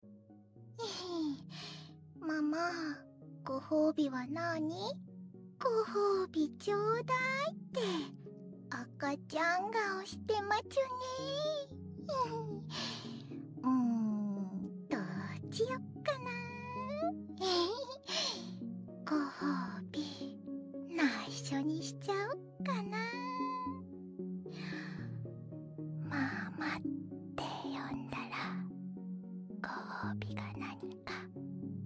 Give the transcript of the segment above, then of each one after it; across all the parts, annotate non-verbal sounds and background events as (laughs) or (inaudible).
(laughs) ママご褒美はなご褒美ちょうだいって赤ちゃん顔してまちゅね (laughs) うんどうしよっかな (laughs) ご褒美内緒にしちゃおっかなママって呼んだらご褒美が何か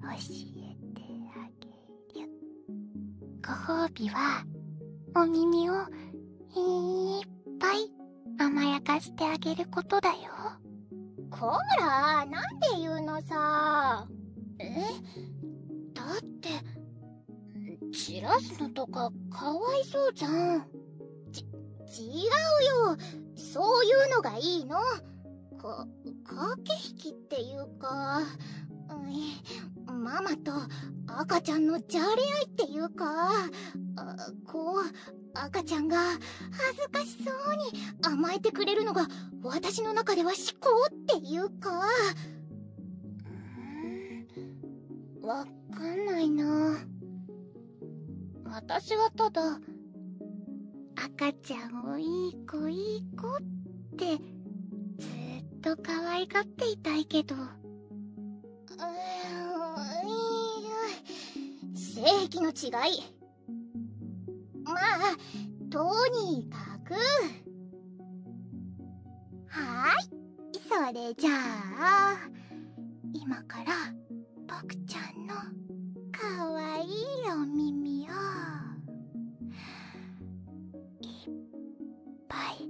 教えてあげるご褒美はお耳をいっぱい甘やかしてあげることだよこらなんで言うのさえだって散らすのとかかわいそうじゃんち違うよそういうのがいいのか駆け引きっていうか、うん、ママと赤ちゃんのじゃれ合いっていうかこう赤ちゃんが恥ずかしそうに甘えてくれるのが私の中では至高っていうか。うんわかんないな私はただ赤ちゃんをいい子いい子ってずっと可愛がっていたいけどうい正規の違いまあとにかくはいそれじゃあ今からぼくちゃんのかわいいお耳をいっぱい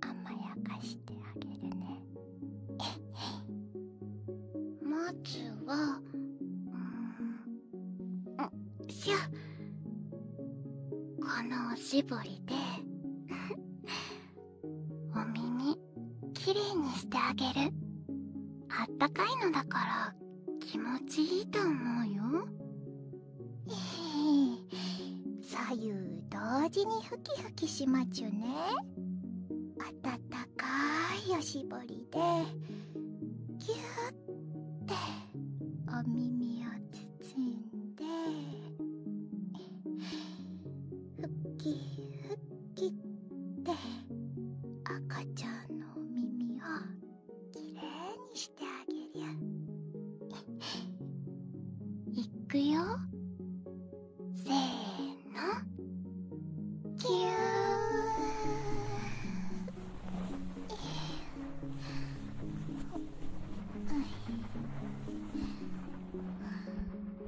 甘やかしてあげるね (laughs) まずはうんしゃこのおしぼりでお耳きれいにしてあげるあったかいのだから気持ちいいと思うよええ左右同時にふきふきしまちゅねあたたかいおしぼりでぎゅってお耳を包んでふきふきって赤ちゃんのお耳をきれいにしてあげり (laughs) いくよせーのキュー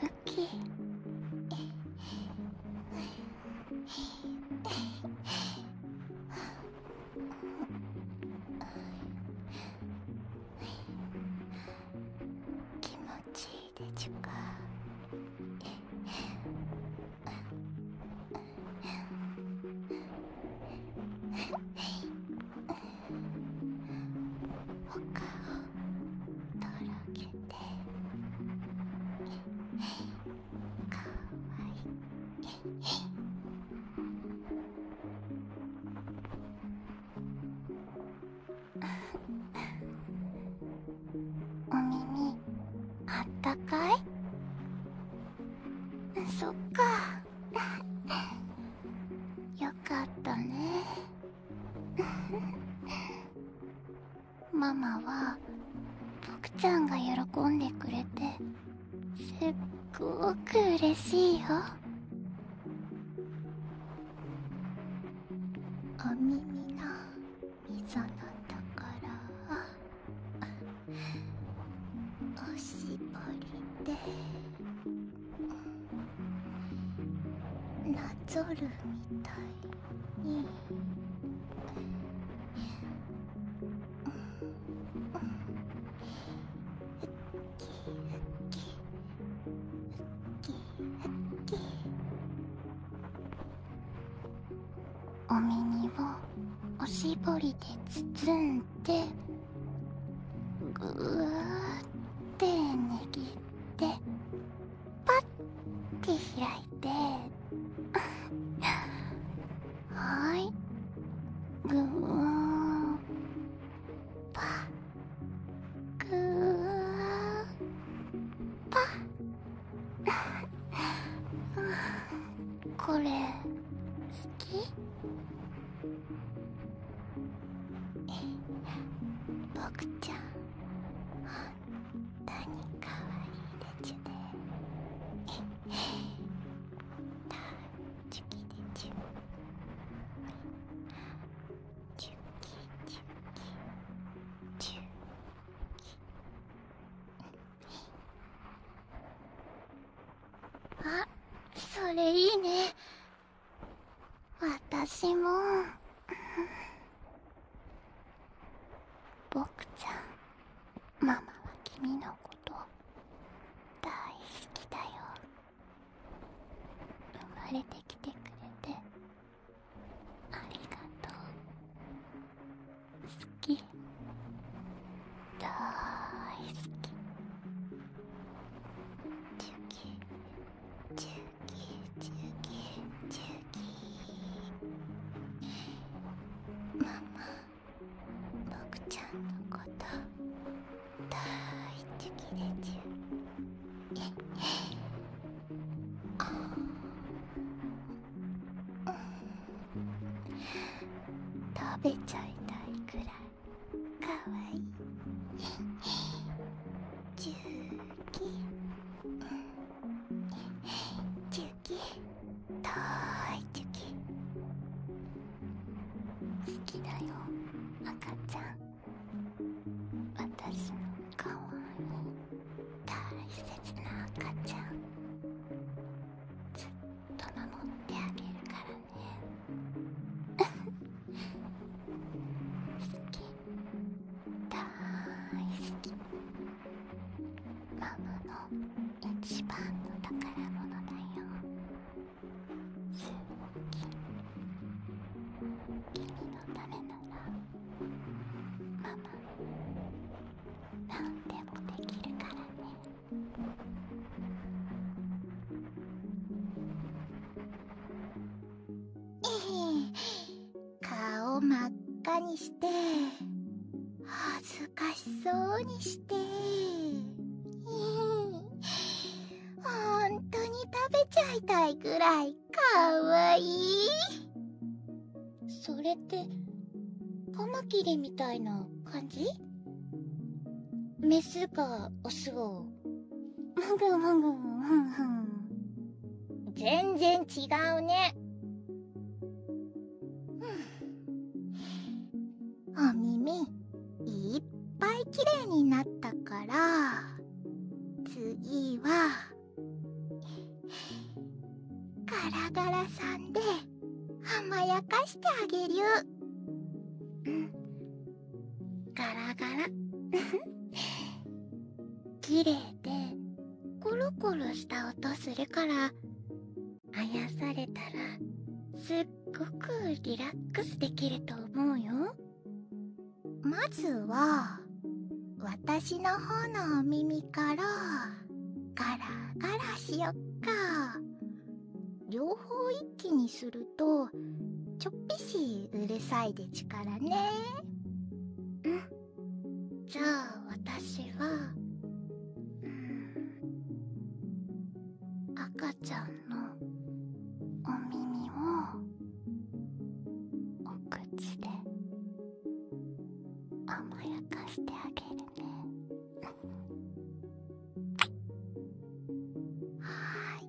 ふき気持ちいいでちゅかお顔とろけてかわいいお耳あったかいそっかよかったね (laughs) ママはボクちゃんが喜んでくれてすっごく嬉しいよお耳の溝のところを (laughs) おしぼりで。なぞるみたいに。おみにをおしぼりでつつんでぐわーって握ってパて開いて (laughs) はいぐーパぐーパ (laughs) これ好きぼくちゃん本当にかわいいでちゅね大好きでちゅチュキチュキチュあそれいいね私もボクちゃんママは君のこと大好きだよ生まれてきてくれてありがとう好き大好きチュキチュキーチューキーママ僕ちゃんのこと大好きでちゅあう食べちゃいたいくらい。かわいいチゅうき。チゅうき。とーいチゅーキ好きだよ赤ちゃんわたしのかわいい大切な赤ちゃんずっと守ってあげるからねきだ大好きママの一番の宝物だよ好き君のためならママ何でもできるからねかおまっかにしてはずかしそうにして本当にたべちゃいたいぐらいかわいいそれってカマキリみたいなかんじメスかオスをもぐもぐふんふん全然違うねおみみいっぱいきれいになったからつぎはガラガラさんではまやかしてあげるガラガラ (laughs) 綺麗でコロコロした音するからあやされたらすっごくリラックスできると思うよまずは私の方のお耳からガラガラしよっか両方一気にするとちょっぴしうるさいでちからねうんじゃあ私は、うん、赤ちゃんのお耳をお口で甘やかしてあげるね (laughs) はい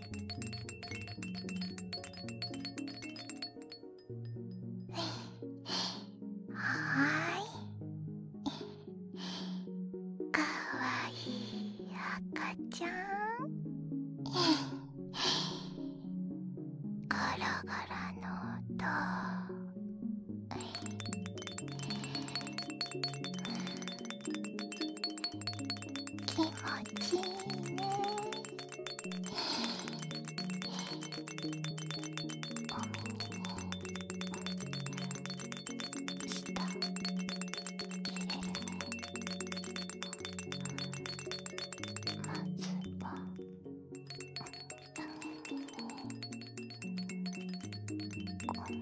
はいかわいい赤ちゃんゴロゴロの音気持ちいいねお耳に舌入れるねまずはためにね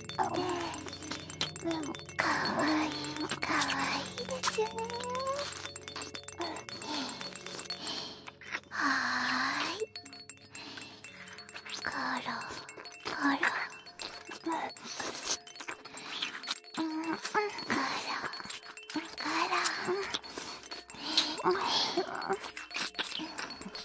でもかわいいかわいいですよねはーいコロコロうんうんコロコロ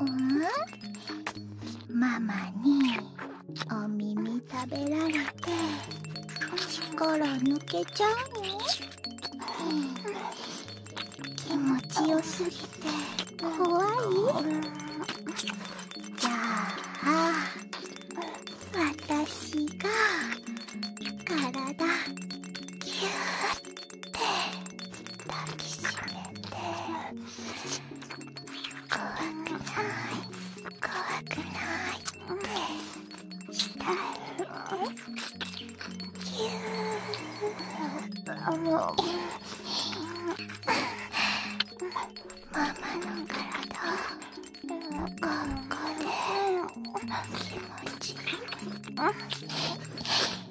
うん、ママにお耳食べられて力抜けちゃうの、ん、気持ちよすぎて怖い、じゃあ私が体キューッ抱きしめて怖くない怖くないってしたいよぎゅーもママの体ここで気持ちいい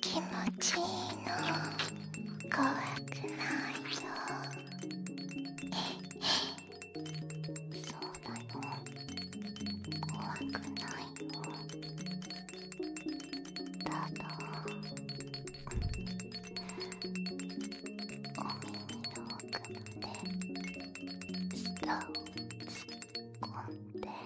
気持ちいいの怖くないよそうだよ怖くないよただお耳の奥まで舌を突っ込んで。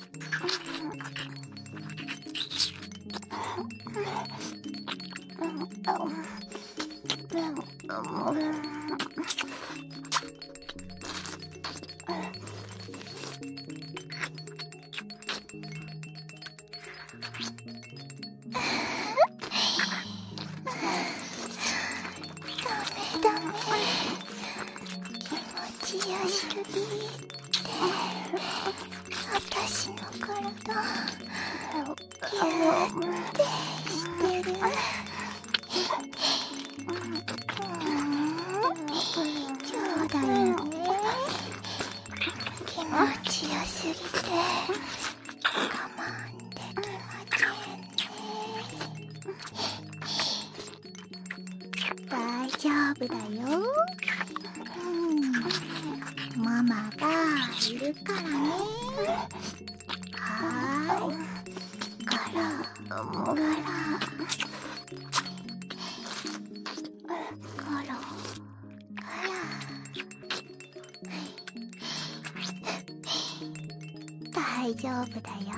うダメうメ。気持ちよすぎて私の体ギュってしてる。そうだよね気持ちよすぎて我慢できませんね大丈夫だよ、ママがいるからねはいガラガラ大丈夫だよ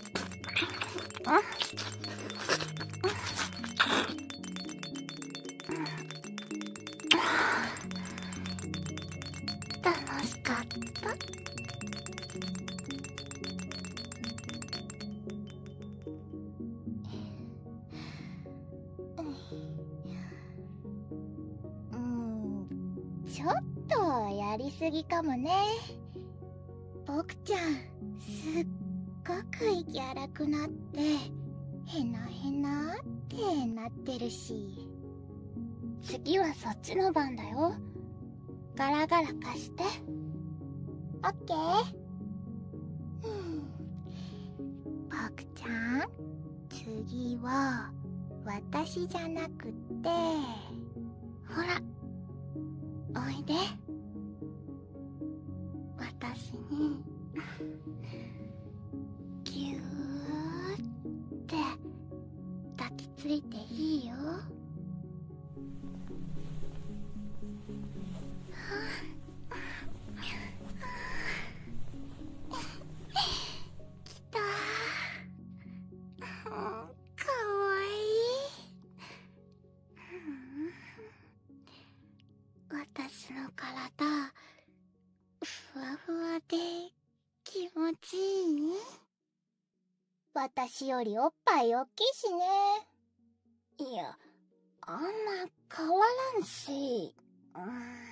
うん、ちょっとやりすぎかもね僕ちゃんすっごく息荒くなってへなへなってなってるし次はそっちの番だよガラガラ貸してオッケーぼくちゃん次は私じゃなくてほらおいで私にぎゅーって抱きついていいよあきたかわいい私の体ふわふわで気持ちいい私よりおっぱいおっきいしねいやあんま変わらんしうん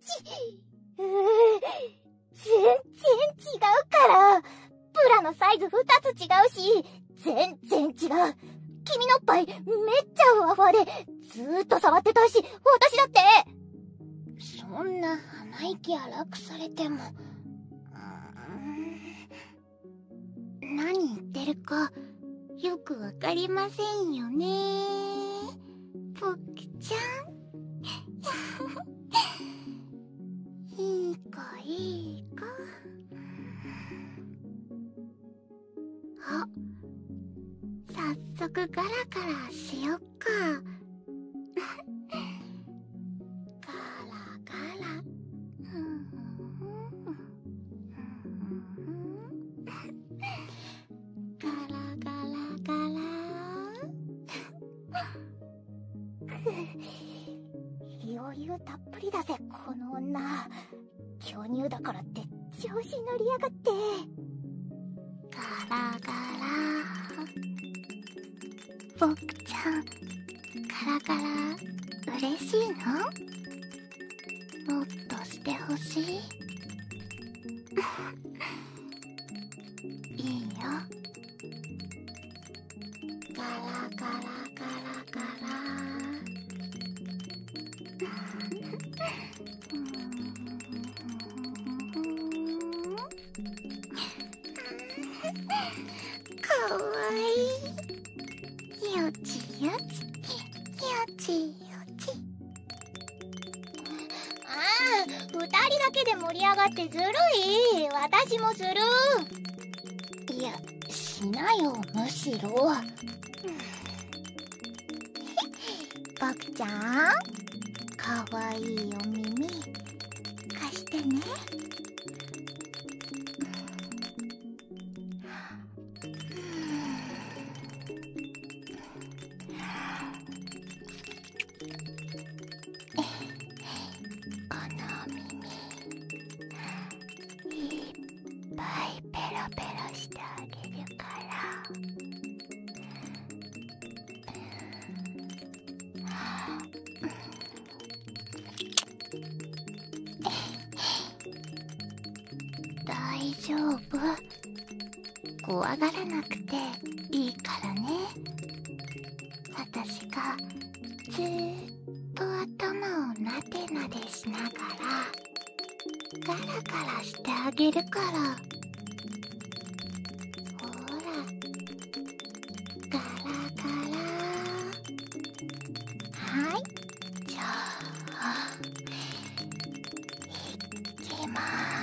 ち全然違うからプラのサイズ2つ違うし、全然違う。君のおっぱいめっちゃふわふわで、ずっと触ってたいし、私だってそんな鼻息荒くされても、うん、何言ってるか、よく分かりませんよねぽくちゃん。(laughs) いい子いい子。あっっさそくガラガラしよっか (laughs) (laughs) ガラガラガラガラガラ余裕たっぷりだぜこの女巨乳だからって調子乗りやがってガラガラボクちゃんガラガラうれしいのもっとしてほしい (laughs) いいよガラガラガラガラかわいいよちよちよちよちああ二人だけで盛り上がってずるい私もするいやしなよむしろボクちゃんかわいいお耳貸してねこのお耳いっぱいペロペロしてあげるから大丈夫怖がらなくていいからね。私がずーっと頭をなでなでしながらガラガラしてあげるからほらガラガラはいじゃあいきまーす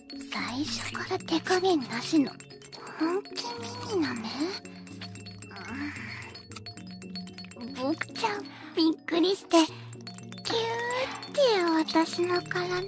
最初から手加減なしの本気ミニなね、うん、ちゃんびっくりしてキューって私の体掴んでる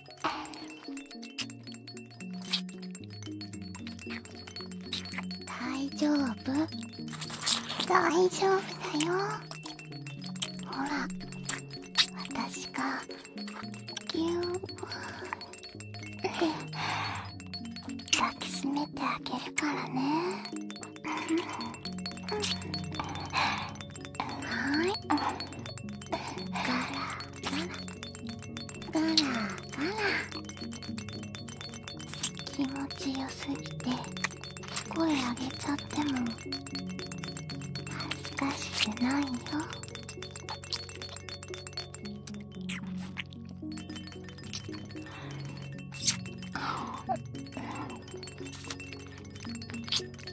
大丈夫大丈夫だよほら私がぎきしめてあげるからねからガラガラ気持ちよすぎて声上げちゃっても恥ずかしくないよあ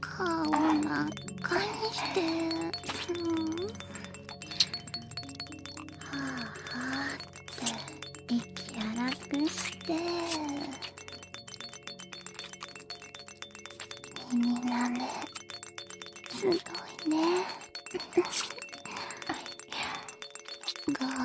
顔真っ赤にして、うん、はあはって息荒くして耳なめすごいねゴロゴロ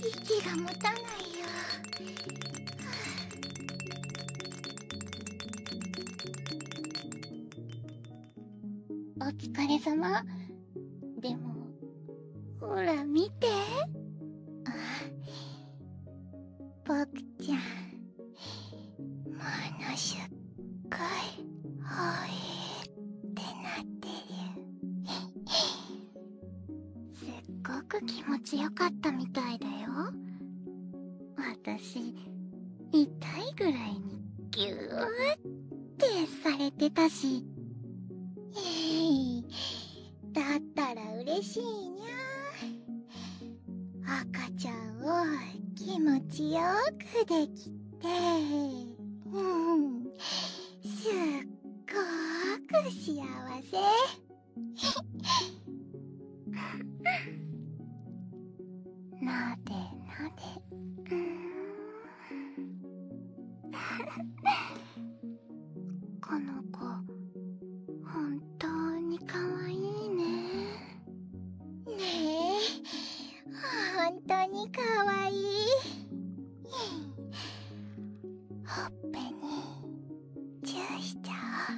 息がもたないよ。お疲れさま。でも、ほら見て。あ、ぼくちゃん、ものすっかい、ほえってなってる。すっごく気持ちよかったみたいだよ私痛いぐらいにギューってされてたしえいだったら嬉しいにゃ赤ちゃんを気持ちよくできてうんすっごーく幸せなでなでうんこの子本当にかわいいねねえ本当にかわいいほっぺにチューしちゃ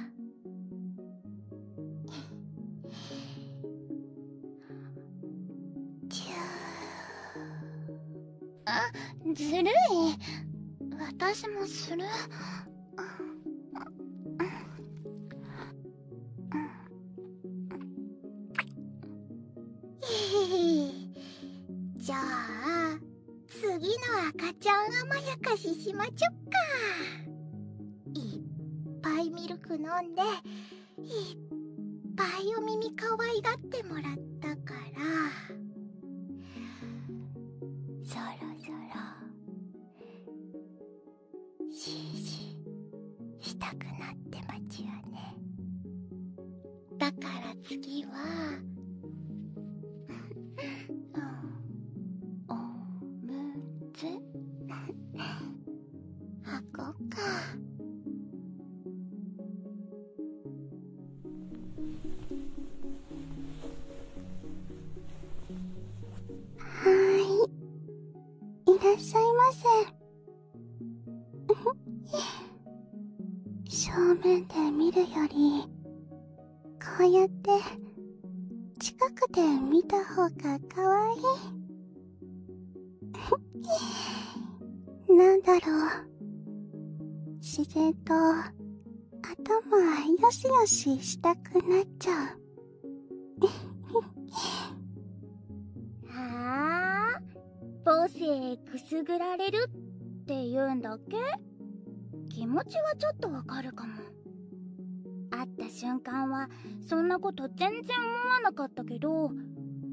おうチューあずるい私もするん、ん、ん、(laughs) じゃあ次の赤ちゃん甘やかししまちょっかいっぱいミルク飲んでいっぱいお耳かわいがってもらったからそろそろしーシーしたくなってまちやね。だから次は (laughs) おむつ (laughs) 箱かはいいらっしゃいませ正面で見るよりこうやって近くで見た方がかわいいなんだろう自然と頭よしよししたくなっちゃうはあ (laughs) 母性くすぐられるって言うんだっけ気持ちはちょっとわかるかも会った瞬間はそんなこと全然思わなかったけど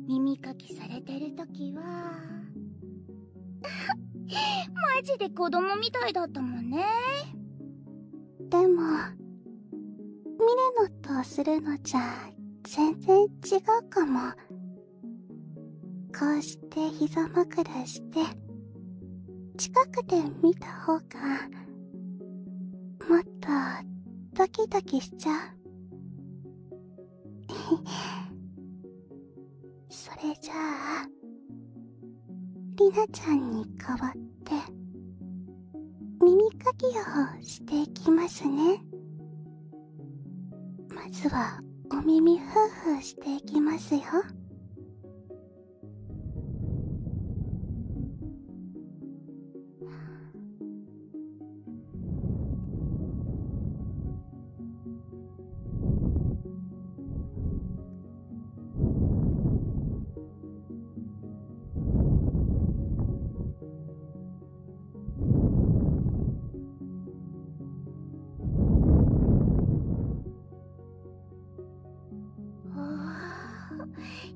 耳かきされてる時は (laughs) マジで子供みたいだったもんねでもミレノとするのじゃ全然違うかもこうして膝枕して近くで見た方がもっとドキドキしちゃう (laughs) それじゃありなちゃんに代わって耳かきをしていきますねまずはお耳ふーふーしていきますよ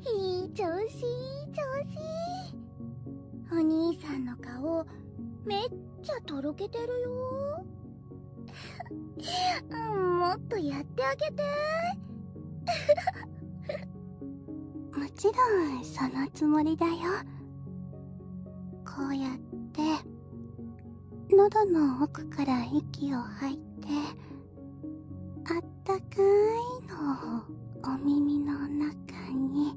いい調子調子お兄さんの顔めっちゃとろけてるよ (laughs) もっとやってあげてもちろんそのこうやって喉の奥から息を吐いてあったかいのをお耳の中に。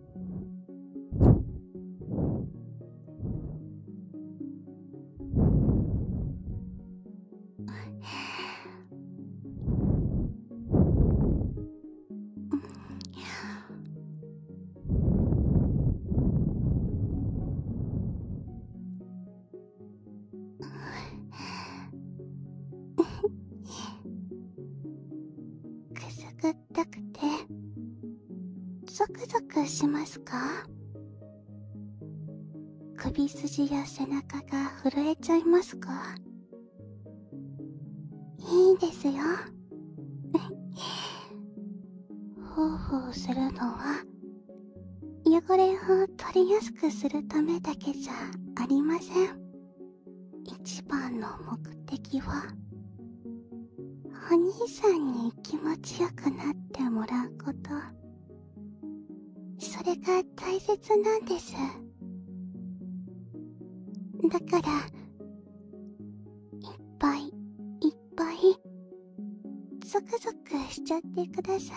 (laughs) くすぐっくてゾクゾクしますか首筋や背中が震えちゃいますかいいですよほう (laughs) するのは汚れを取りやすくするためだけじゃありません一番の目的はお兄さんに気持ちよくなってもらうことそれが大切なんですだからいっぱいいっぱいゾクゾクしちゃってください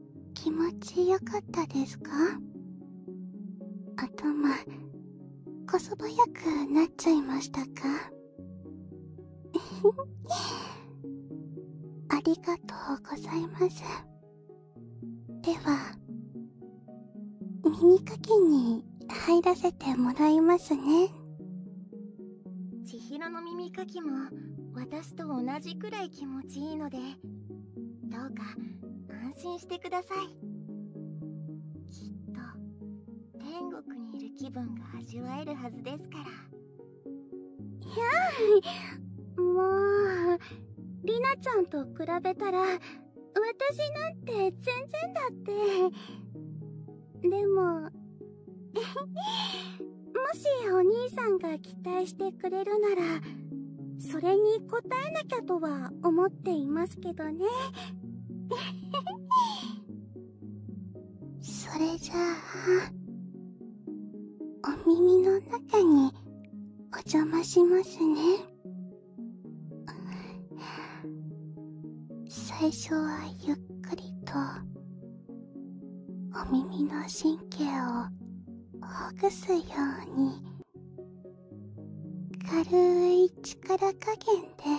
気持ちよかったですか頭こそばやくなっちゃいましたか (laughs) ありがとうございますでは耳かきに入らせてもらいますね千尋の耳かきも私と同じくらい気持ちいいのでどうか安心してくださいきっと天国にいる気分が味わえるはずですからひゃもうりなちゃんと比べたら私なんて全然だってでも (laughs) もしお兄さんが期待してくれるなら、それに応えなきゃとは思っていますけどね。(laughs) それじゃあ、お耳の中にお邪魔しますね。最初はゆっくりと、お耳の神経をほぐすように軽い力加減でうん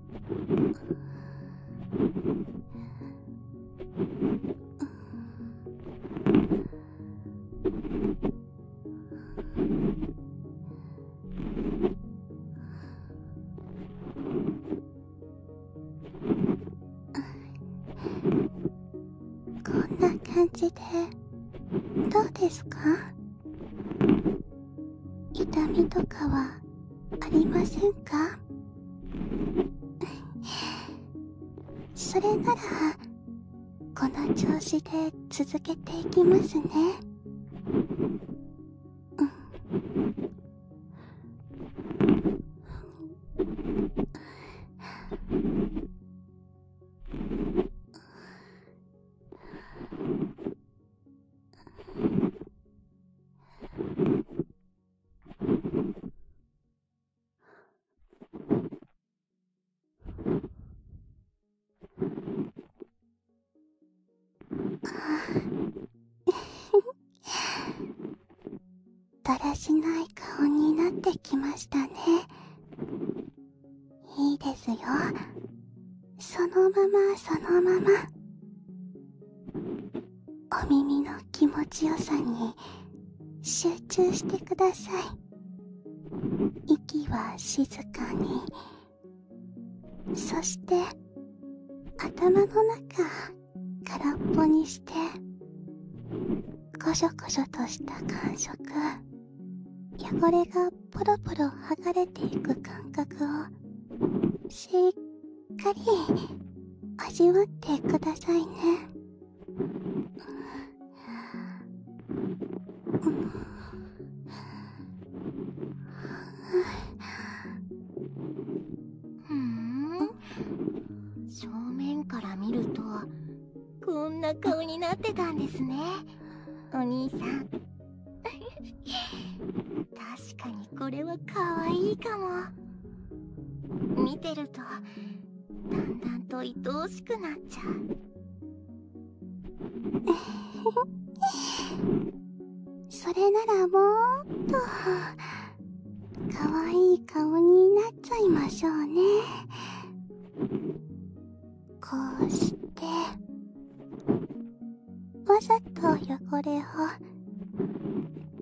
こんな感じでどうですか痛みとかはありませんかそれならこの調子で続けていきますね、うんううん。ん。(laughs) だらしない顔になってきましたねいいですよそのままそのままお耳の気持ちよさに集中してください息は静かにそして頭の中空っぽにしてこしょこしょとした感触汚れがポロポロ剥がれていく感覚をしっかり味わってくださいね。ふん正面から見るとこんな顔になってたんですねお兄さん確かにこれは可愛いかも見てるとだんだんと愛おしくなっちゃう (laughs) それならもっと可愛い顔になっちゃいましょうねこうしてわざと汚れを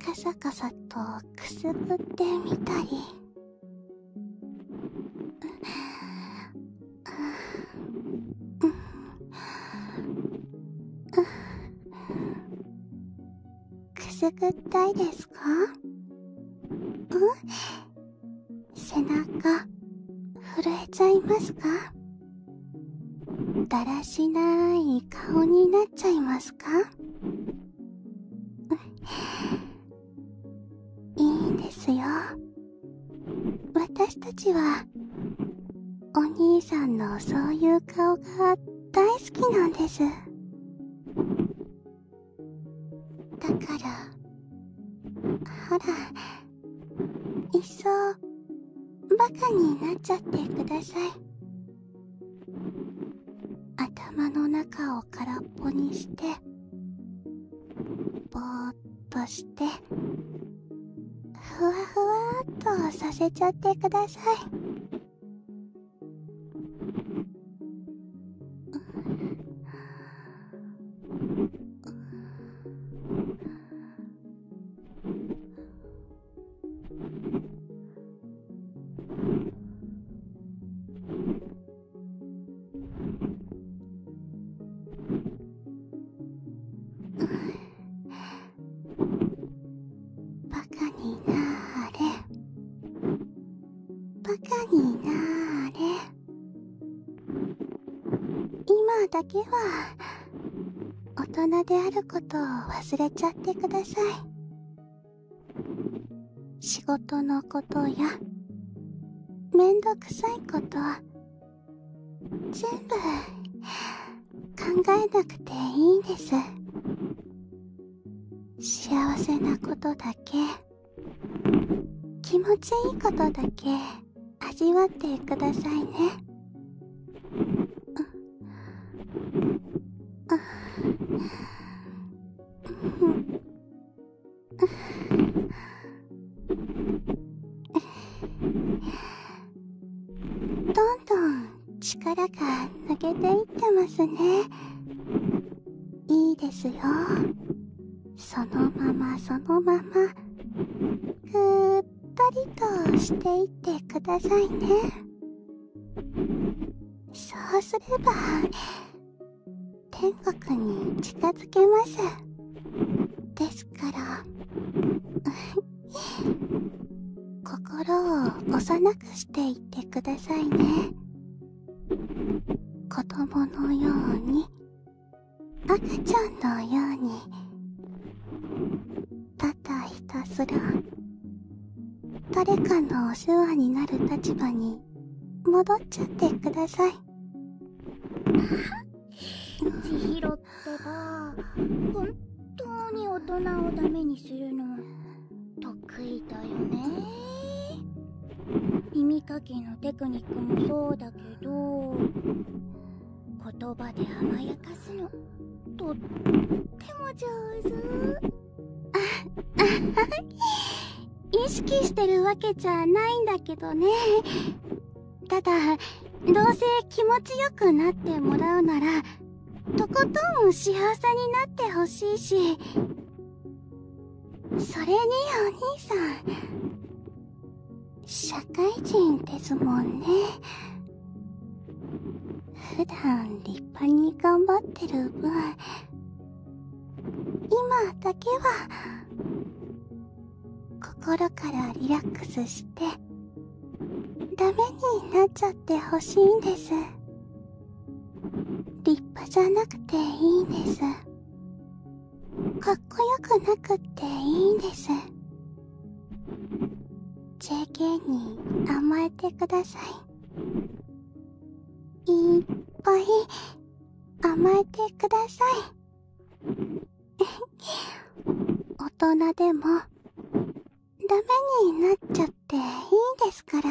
カサカサとくすぐってみたりくすぐったいですかうん背中震えちゃいますかだらしない顔になっちゃいますかいいんですよ私たちはお兄さんのそういう顔が大好きなんですだからほらいっそバカになっちゃってください頭の中を空っぽにしてぼっとしてふわふわっとさせちゃってください。ふわふわバカになあれバカになあれ今だけは大人であることを忘れちゃってください仕事のことやめんどくさいこと全部考えなくていいんです幸せなことだけ気持ちいいことだけ味わってくださいねどんどん力が抜けていってますねいいですよそのままそのままぐーっとりとしていってくださいねそうすれば天国に近づけますですから心を幼くしていってくださいね子供のように赤ちゃんのようにただひたすら誰かのお世話になる立場に戻っちゃってください千尋ってば本当に大人をダメにするの得意だよね耳かきのテクニックもそうだけど言葉で甘やかすのとっても上手 (laughs) 意識してるわけじゃないんだけどねただどうせ気持ちよくなってもらうならとことん幸せになってほしいしそれにお兄さん社会人ですもんね普段立派に頑張ってる分今だけは心からリラックスしてダメになっちゃってほしいんです立派じゃなくていいんですかっこよくなくっていいんです JK に甘えてくださいいっぱい甘えてください (laughs) 大人でもダメになっちゃっていいですから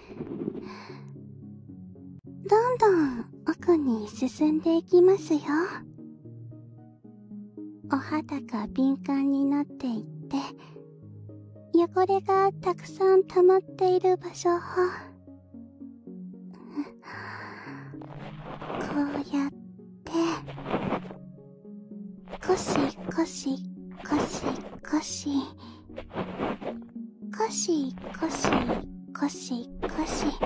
どんどん奥に進んでいきますよお肌が敏感になっていって汚れがたくさん溜まっている場所をこうやってコシコシコシコシ。コシコシコシコシう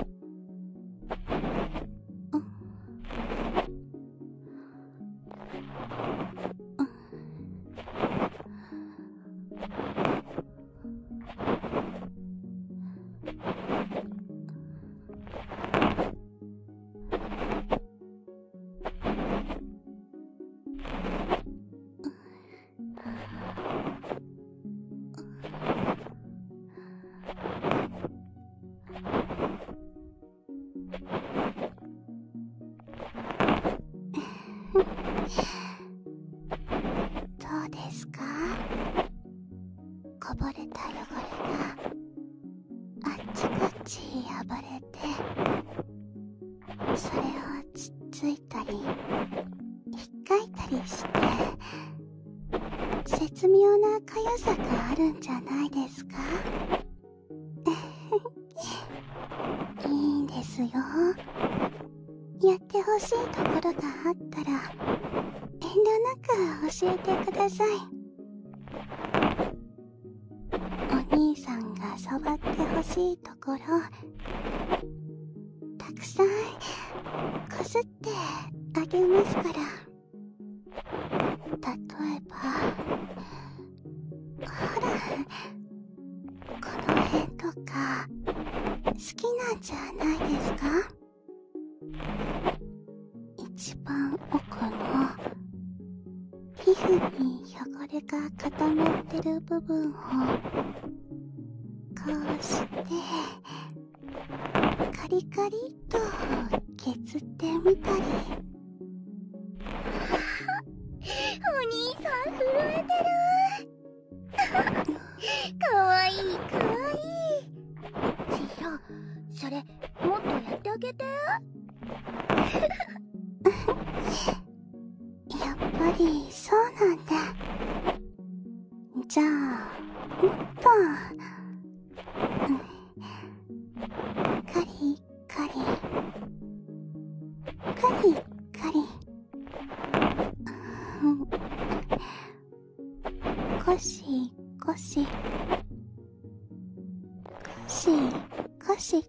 んうんどうですかこぼれた汚れがあっちこっち暴れてそれをつっついて。たりひったりして絶妙なかさがあるんじゃないですか (laughs) いいんですよやってほしいところがあったら遠慮なく教えてくださいお兄さんが触ってほしいところたくさんこすってあげますから例えばほらこの辺とか好きなんじゃないですか一番奥の皮膚に汚れが固まってる部分をこうしてカリカリと削ってみたり (laughs) お兄さん震えてる (laughs) かわいいかわいいちひろそれもっとやってあげて (laughs) やっぱりそうなんだじゃあもっと、うん、カリカリカリカリ、うん、コシコシコシコシと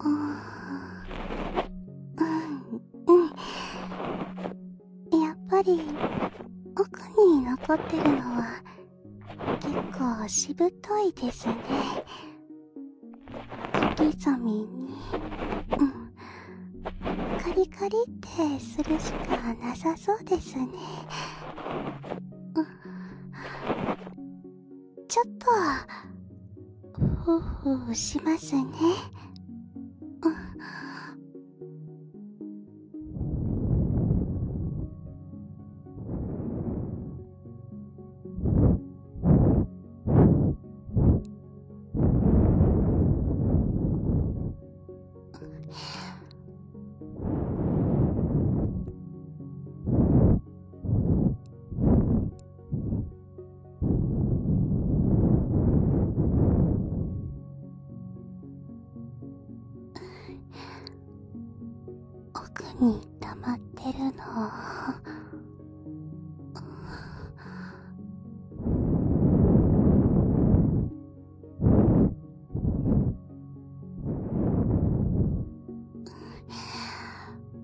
うんうんやっぱり奥に残ってるのは結構しぶといですね小刻みにカリカリってするしかなさそうですねちょっとほうほうしますね、うんん奥にたまってるの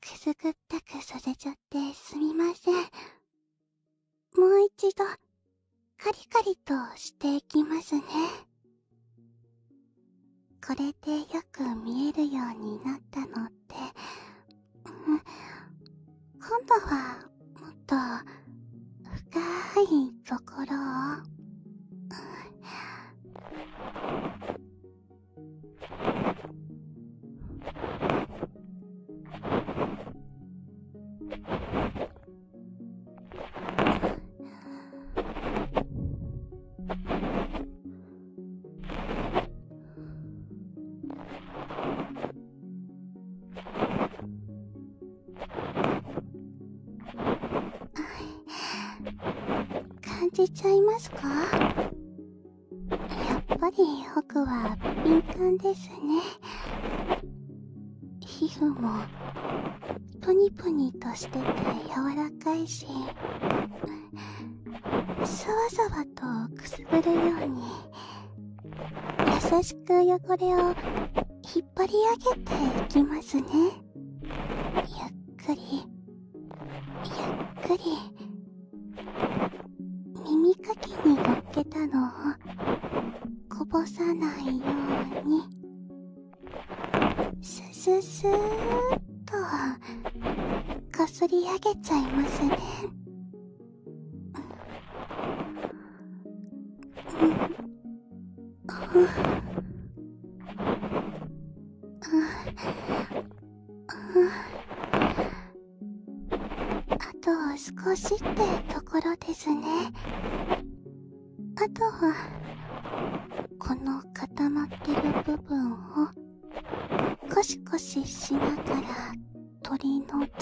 くすぐったくさせちゃってすみません。もう一度、カリカリとしていきますね。これでよく見えるようになったのって、今度はもっと深いところを。感じちゃいますかやっぱり僕は敏感ですね皮膚もプニプニとしてて柔らかいしさわさわとくすぐるように優しく汚れを引っ張り上げていきますねゆっくりゆっくり耳かきにのっけたのをこぼさないようにすすスっとかすりあげちゃいますねあと少しってところですねあとはこの固まってる部分をコシコシしながら鳥の爪って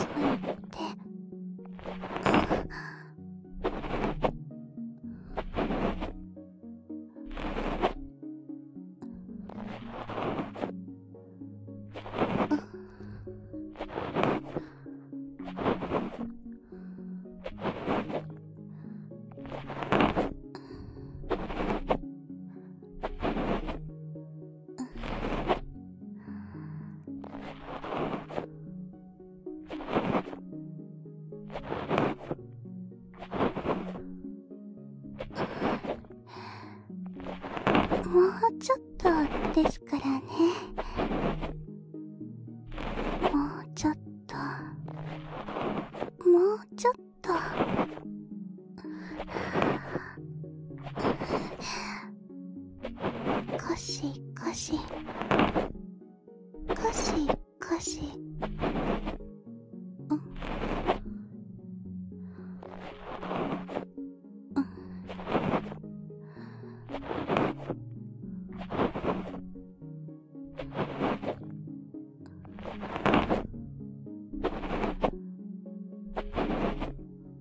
もうちょっとですからねもうちょっともうちょっとかしかしかしかしうんうん (sighs) こ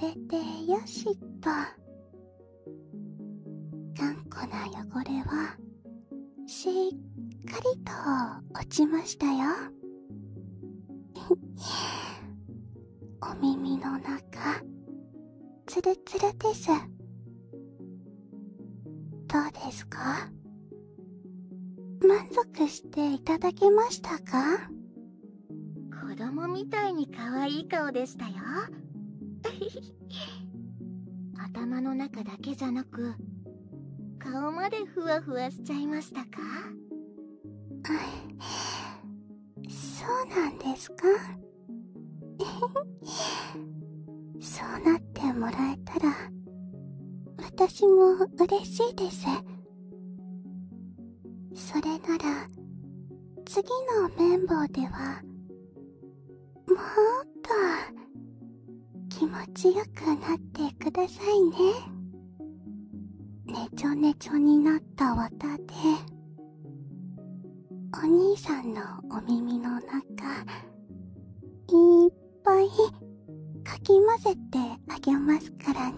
れでよしっと。頑固な汚れはしっかりと落ちましたよ (laughs) お耳の中ツルツルですどうですか満足していただけましたか子供みたいに可愛い顔でしたよ頭の中だけじゃなく顔までふわふわしちゃいましたかそうなんですか (laughs) そうなってもらえたら私も嬉しいですそれなら次の綿棒ではもっと気持ちよくなってくださいねねちょねちょになった綿でお兄さんのお耳の中いっぱいかき混ぜてあげますからね